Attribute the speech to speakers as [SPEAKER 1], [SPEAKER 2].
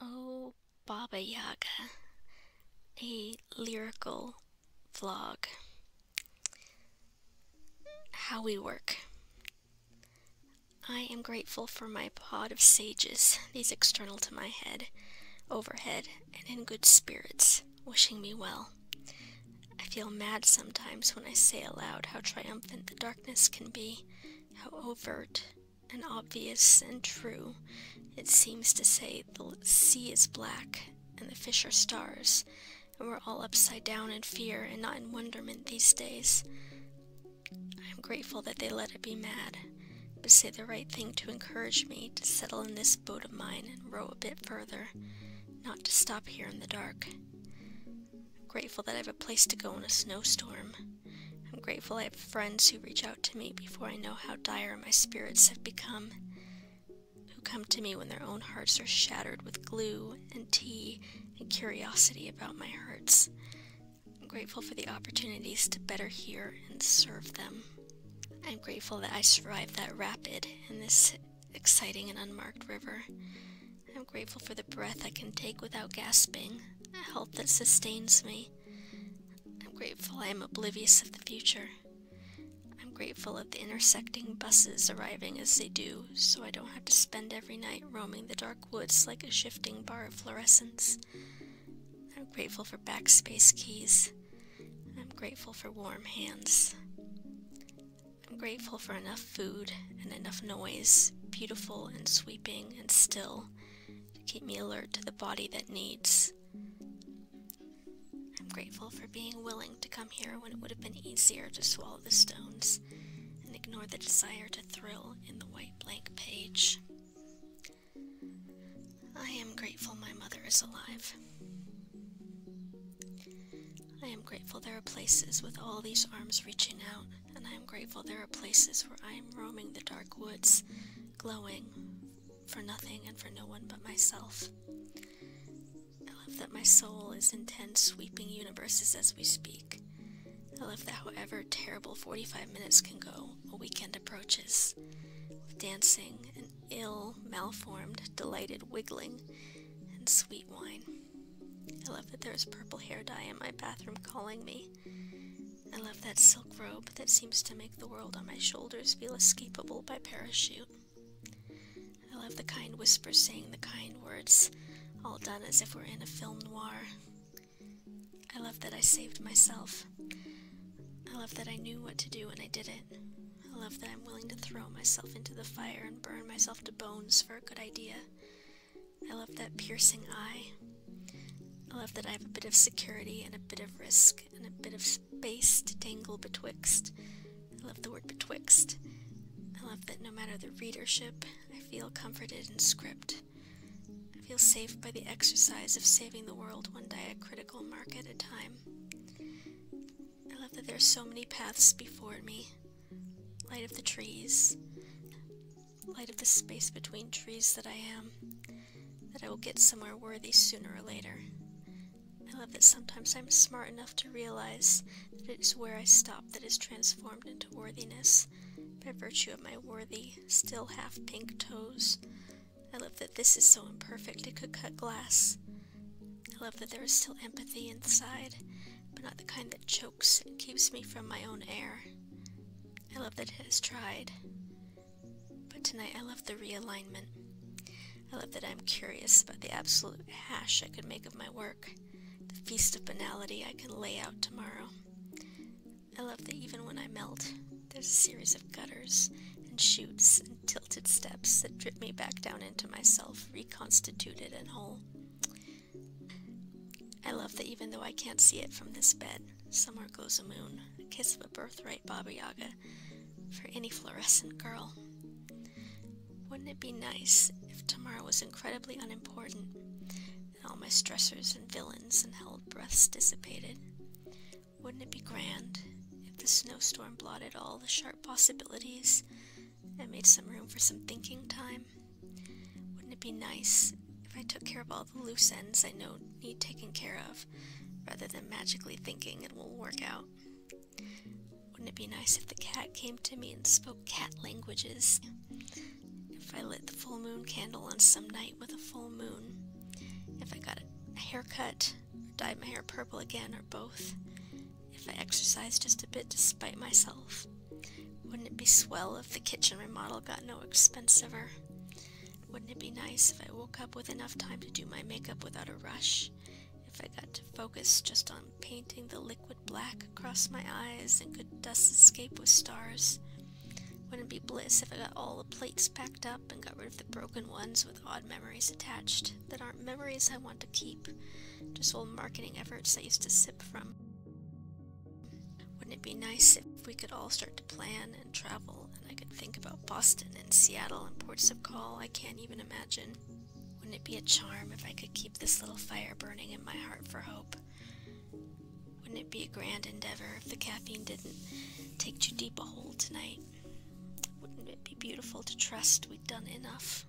[SPEAKER 1] Oh, Baba Yaga, a lyrical vlog. How we work. I am grateful for my pod of sages, these external to my head, overhead, and in good spirits, wishing me well. I feel mad sometimes when I say aloud how triumphant the darkness can be, how overt, and obvious and true, it seems to say the sea is black and the fish are stars, and we're all upside down in fear and not in wonderment these days. I am grateful that they let it be mad, but say the right thing to encourage me to settle in this boat of mine and row a bit further, not to stop here in the dark. grateful that I have a place to go in a snowstorm. I'm grateful I have friends who reach out to me before I know how dire my spirits have become, who come to me when their own hearts are shattered with glue and tea and curiosity about my hurts. I'm grateful for the opportunities to better hear and serve them. I'm grateful that I survived that rapid in this exciting and unmarked river. I'm grateful for the breath I can take without gasping, a health that sustains me, I'm grateful I am oblivious of the future. I'm grateful of the intersecting buses arriving as they do, so I don't have to spend every night roaming the dark woods like a shifting bar of fluorescence. I'm grateful for backspace keys. I'm grateful for warm hands. I'm grateful for enough food and enough noise, beautiful and sweeping and still to keep me alert to the body that needs. I'm grateful for being willing to come here when it would have been easier to swallow the stones and ignore the desire to thrill in the white blank page. I am grateful my mother is alive. I am grateful there are places with all these arms reaching out and I am grateful there are places where I am roaming the dark woods, glowing for nothing and for no one but myself. I love that my soul is in ten sweeping universes as we speak. I love that however terrible 45 minutes can go, a weekend approaches. With dancing and ill, malformed, delighted wiggling and sweet wine. I love that there is purple hair dye in my bathroom calling me. I love that silk robe that seems to make the world on my shoulders feel escapable by parachute. I love the kind whispers saying the kind words, all done as if we're in a film noir. I love that I saved myself. I love that I knew what to do and I did it. I love that I'm willing to throw myself into the fire and burn myself to bones for a good idea. I love that piercing eye. I love that I have a bit of security and a bit of risk and a bit of space to dangle betwixt. I love the word betwixt. I love that no matter the readership, I feel comforted in script. I feel safe by the exercise of saving the world one diacritical mark at a time. I love that there are so many paths before me. Light of the trees, light of the space between trees that I am, that I will get somewhere worthy sooner or later. I love that sometimes I'm smart enough to realize that it is where I stop that is transformed into worthiness by virtue of my worthy, still half pink toes. I love that this is so imperfect it could cut glass. I love that there is still empathy inside, but not the kind that chokes and keeps me from my own air. I love that it has tried. But tonight I love the realignment. I love that I'm curious about the absolute hash I could make of my work, the feast of banality I can lay out tomorrow. I love that even when I melt, there's a series of gutters and shoots and tilted steps that drip me back down into myself, reconstituted and whole. I love that even though I can't see it from this bed, Somewhere goes a moon, a kiss of a birthright Baba Yaga for any fluorescent girl. Wouldn't it be nice if tomorrow was incredibly unimportant and all my stressors and villains and held breaths dissipated? Wouldn't it be grand if the snowstorm blotted all the sharp possibilities and made some room for some thinking time? Wouldn't it be nice if I took care of all the loose ends I know need taken care of, rather than magically thinking it will work out. Wouldn't it be nice if the cat came to me and spoke cat languages? If I lit the full moon candle on some night with a full moon, if I got a haircut, dyed my hair purple again, or both, if I exercised just a bit despite myself, wouldn't it be swell if the kitchen remodel got no expensiver? Wouldn't it be nice if I woke up with enough time to do my makeup without a rush? If I got to focus just on painting the liquid black across my eyes and could dust escape with stars? Wouldn't it be bliss if I got all the plates packed up and got rid of the broken ones with odd memories attached that aren't memories I want to keep, just old marketing efforts I used to sip from? Wouldn't it be nice if we could all start to plan and travel and I could think about Boston and Seattle and ports of call I can't even imagine? Wouldn't it be a charm if I could keep this little fire burning in my heart for hope? Wouldn't it be a grand endeavor if the caffeine didn't take too deep a hold tonight? Wouldn't it be beautiful to trust we'd done enough?